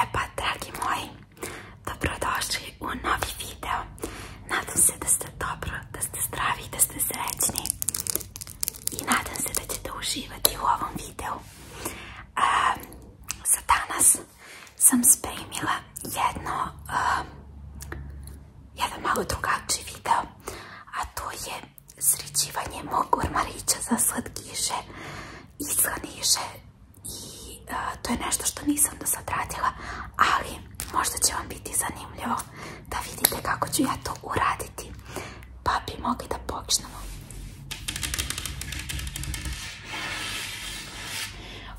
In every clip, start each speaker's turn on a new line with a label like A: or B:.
A: E pa, dragi moji, dobrodošli u novi video. Nadam se da ste dobro, da ste zdravi i da ste srećni. I nadam se da ćete uživati u ovom videu. za danas sam spremila jedno, jedan malo drugačiji video, a to je srećivanje mog ormarića za slatkiše i slaniše i to je nešto što nisam do sad ali možda će vam biti zanimljivo da vidite kako ću ja to uraditi pa bi mogli da počnemo.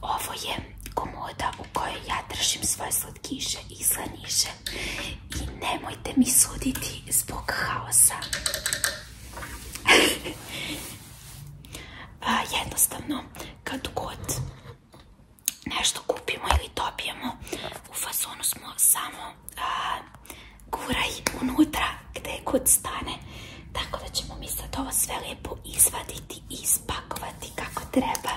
A: Ovo je komoda u kojoj ja držim svoje slatkiše i slaniše i nemojte mi suditi zbog haosa. jednostavno, kad god nešto kupimo ili dobijemo, u fazonu smo samo guraj unutra gde kod stane. Tako da ćemo mi sad ovo sve lijepo izvaditi i ispakovati kako treba.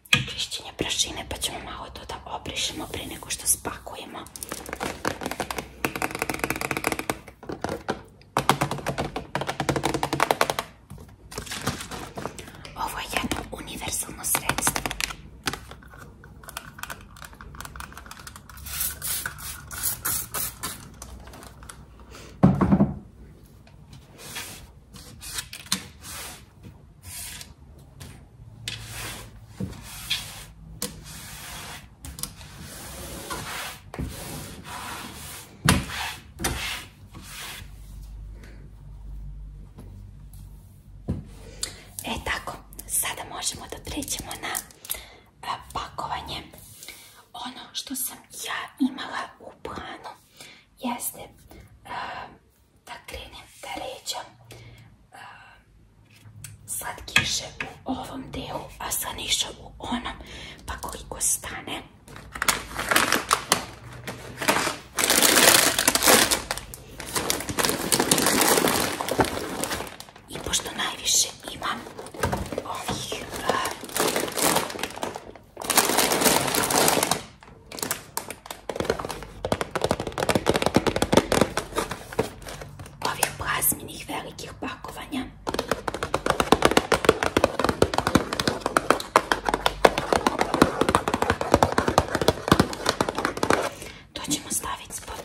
A: čišćenje prašine pa ćemo malo to da obrišimo prije nego što spakujemo. Ovo je jedno univerzalno sredstvo. E tako, sada možemo da trećemo na pakovanje. Ono što sam ja imala u planu jeste da krenem da ređam um, slatkiše u ovom delu, a slaniše u onom, pa koliko stane. I pošto najviše imam ovih ovih plazminih velikih pakovanja. To ćemo staviti spod.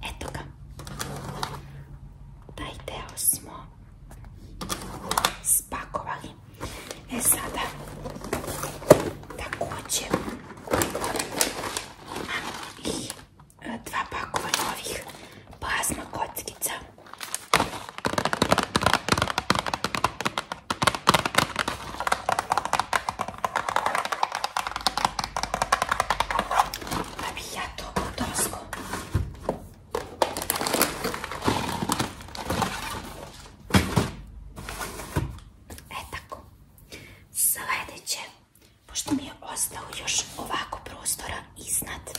A: Eto ga. Taj deo smo spakovali. E sada također imam i e, dva pakova novih plazma kockica. Da ja to odnosno. E tako. Sljedeće, pošto mi je ostao još ovako prostora iznad,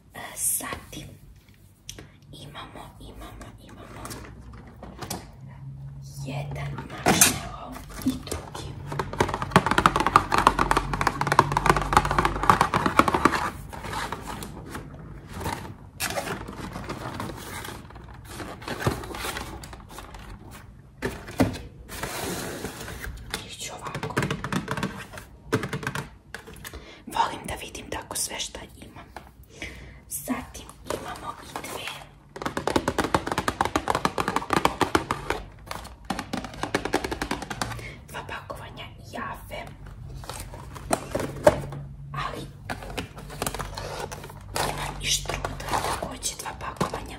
A: Zatim imamo, imamo, imamo jedan marshmallow i drugi. Ići ovako. Volim da vidim tako sve što imam. Zatim imamo i dve. Dva pakovanja jave. Ali imam i štruda također dva pakovanja.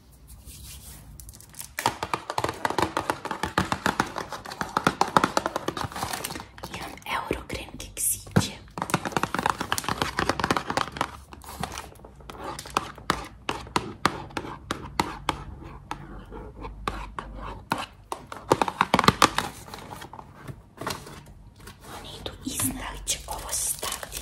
A: Imam euro krem keksiće. Oni idu iznali će ovo staviti.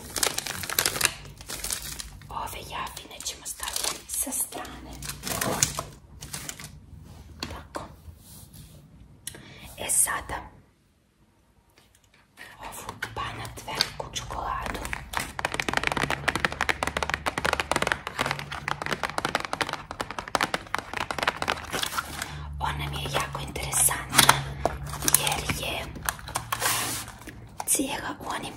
A: Ove javine ćemo staviti sa strane. Tako. E sada ovu panat veliku čokoladu ona mi je jako interesantna jer je cijela u onim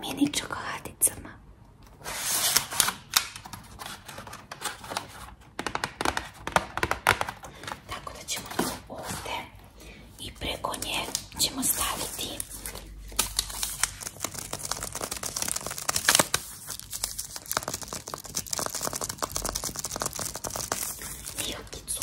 A: mini čokoladicama. Tako da ćemo ovdje i preko nje ćemo staviti Vilkicu.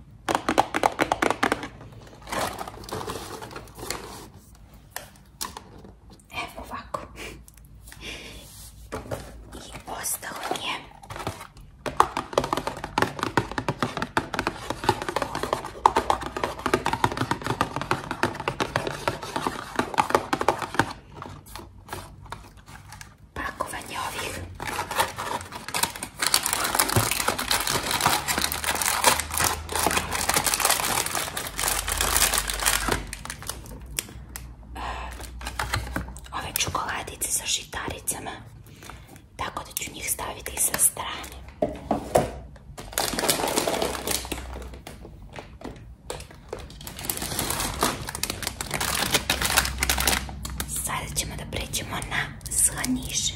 A: Evo ovako. I ostalo mi je pakovanje ovih Ove čokoladice sa žitaricama, tako da ću njih staviti i sa strane. Sada ćemo da pređemo na slaniše.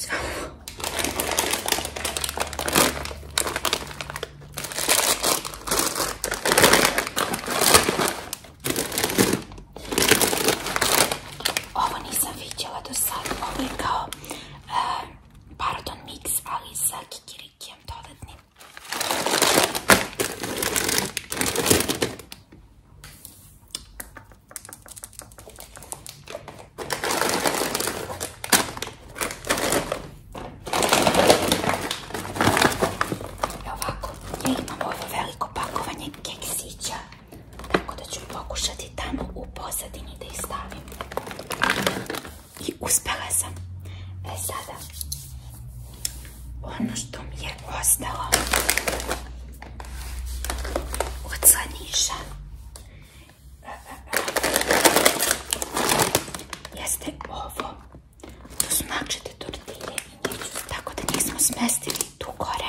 A: Znam, Ovo nisam vidjela do sad, ovo je kao eh, pardon mix, ali sa или кем-то одним. I ovako, ja imam ovo veliko pakovanje keksića, tako da ću pokušati tamo u pozadini da ih stavim i uspjela sam. E sada, ono što mi je ostalo od slaniša jeste ovo. To su nakčete tortilje i tako da smo smestili tu gore.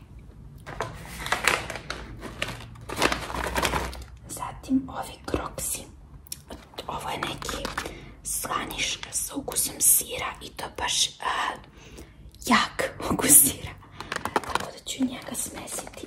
A: Zatim ovi kroksi. Ovo je neki slaniš sa ukusom sira i to baš jak ukus sira. Tako ću njega smesiti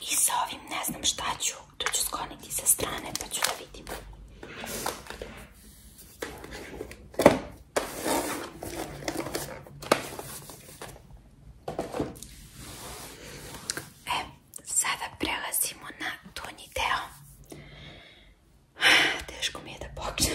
A: I sa ovim ne znam šta ću. To ću skoniti sa strane pa ću da vidim. E, sada prelazimo na donji deo. Teško mi je da počnem.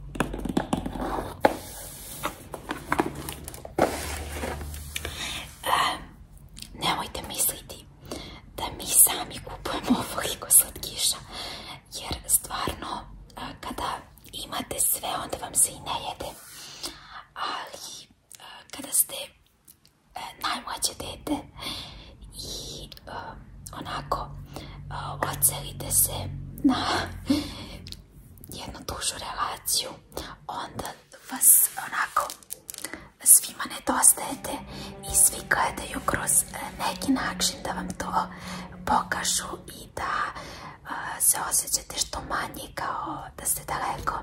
A: nemojte misliti da mi sami kupujemo ovoliko kiša jer stvarno kada imate sve onda vam se i ne jede, ali kada ste e, najmlađe dete Um, onako uh, ocelite se na jednu dužu relaciju onda vas onako svima nedostajete i svi gledaju kroz uh, neki način da vam to pokažu i da uh, se osjećate što manje kao da ste daleko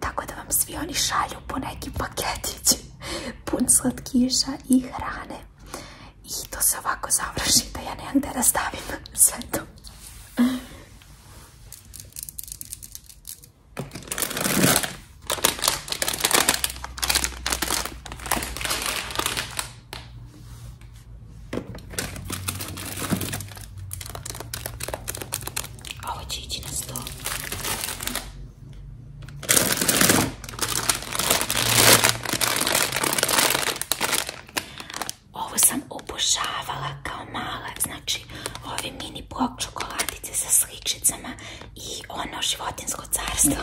A: tako da vam svi oni šalju po neki paketić pun slatkiša i hrane i to se ovako završi da ja nemam da stavim sve to. Ovo ovo sam obožavala kao mala, znači ove mini blok čokoladice sa sličicama i ono životinsko carstvo.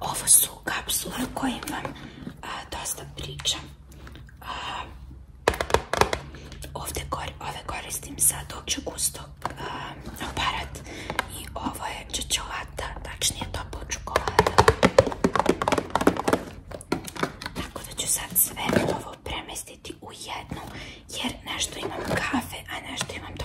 A: Ovo su kapsule o dosta pričam. ovdje, ove koristim za dok gusto um, i ovo je čočolata, tačnije topla čokolada. Tako da će sad sve ovo premestiti u jednu, jer nešto imam kafe, a nešto imam to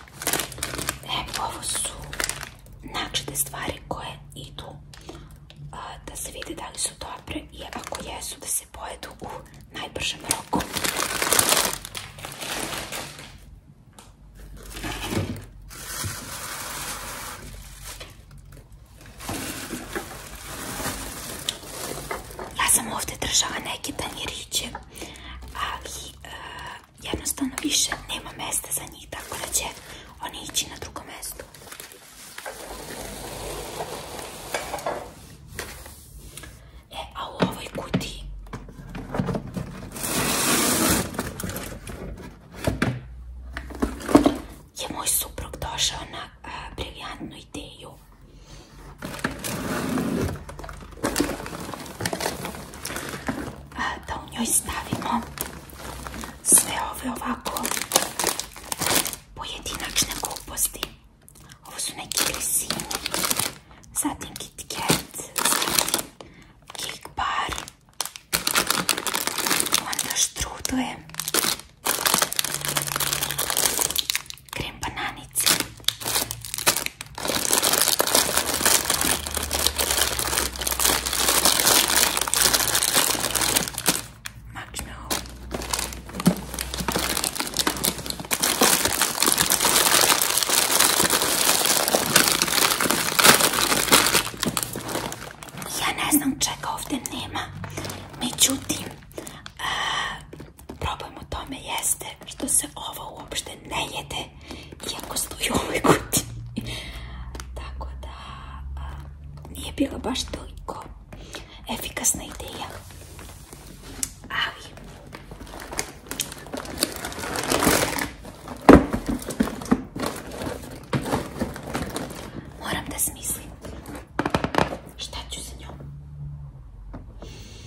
A: E, ovo su načite stvari koje idu da se vidi da li su dobre i ako jesu da se pojedu u najbržem roku. Ja sam ovdje držala neke tanjiriće, ali e, jednostavno više nema mesta za njih, tako da će oni ići na drugo mesto. E, a u ovoj kutiji je moj suprug došao na e, briljantnu ideju. da u njoj stavimo sve ove ovako pojedinačne gluposti. Ovo su neki grisini, zatim KitKat, zatim KickBar, onda štrudle, krem banane, stranici. Ja ne znam čega ovdje nema. Međutim, Problem u tome jeste što se ovo uopšte ne jede, iako stoji u ovoj kutiji. Tako da nije bila baš toliko efikasna ideja. Ali... Moram da smislim šta ću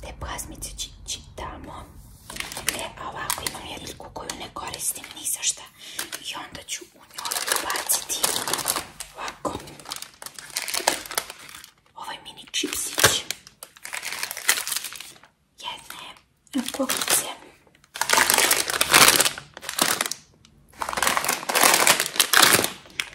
A: te plazmice čitamo. E, ovako imam jedinku koju ne koristim ni za šta. I onda ću u njoj baciti ovako ovaj mini čipsić. Jedne pokice.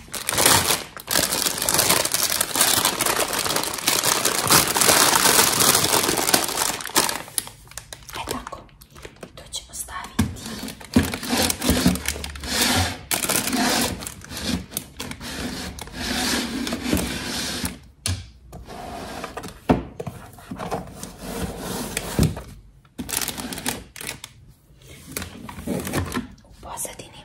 A: E tako, to ćemo staviti. U pozadini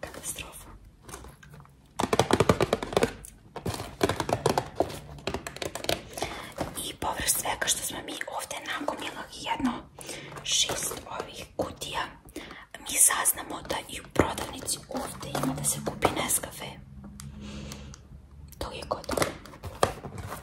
A: Katastrofa. I površ svega što smo mi ovdje nagomila jedno šest ovih kutija, mi saznamo da i u prodavnici ovdje ima da se kupi Nescafe. To je gotovo.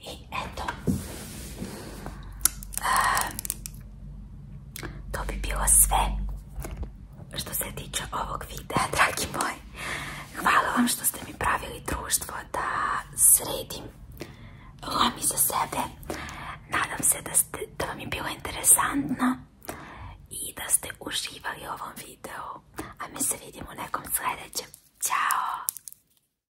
A: I eto, ehm, to bi bilo sve što se tiče ovog videa, dragi moji. Hvala vam što ste mi pravili društvo da sredim lomi za sebe. Nadam se da, ste, vam je bilo interesantno i da ste uživali u ovom videu. A mi se vidimo nekom sljedećem. Ćao!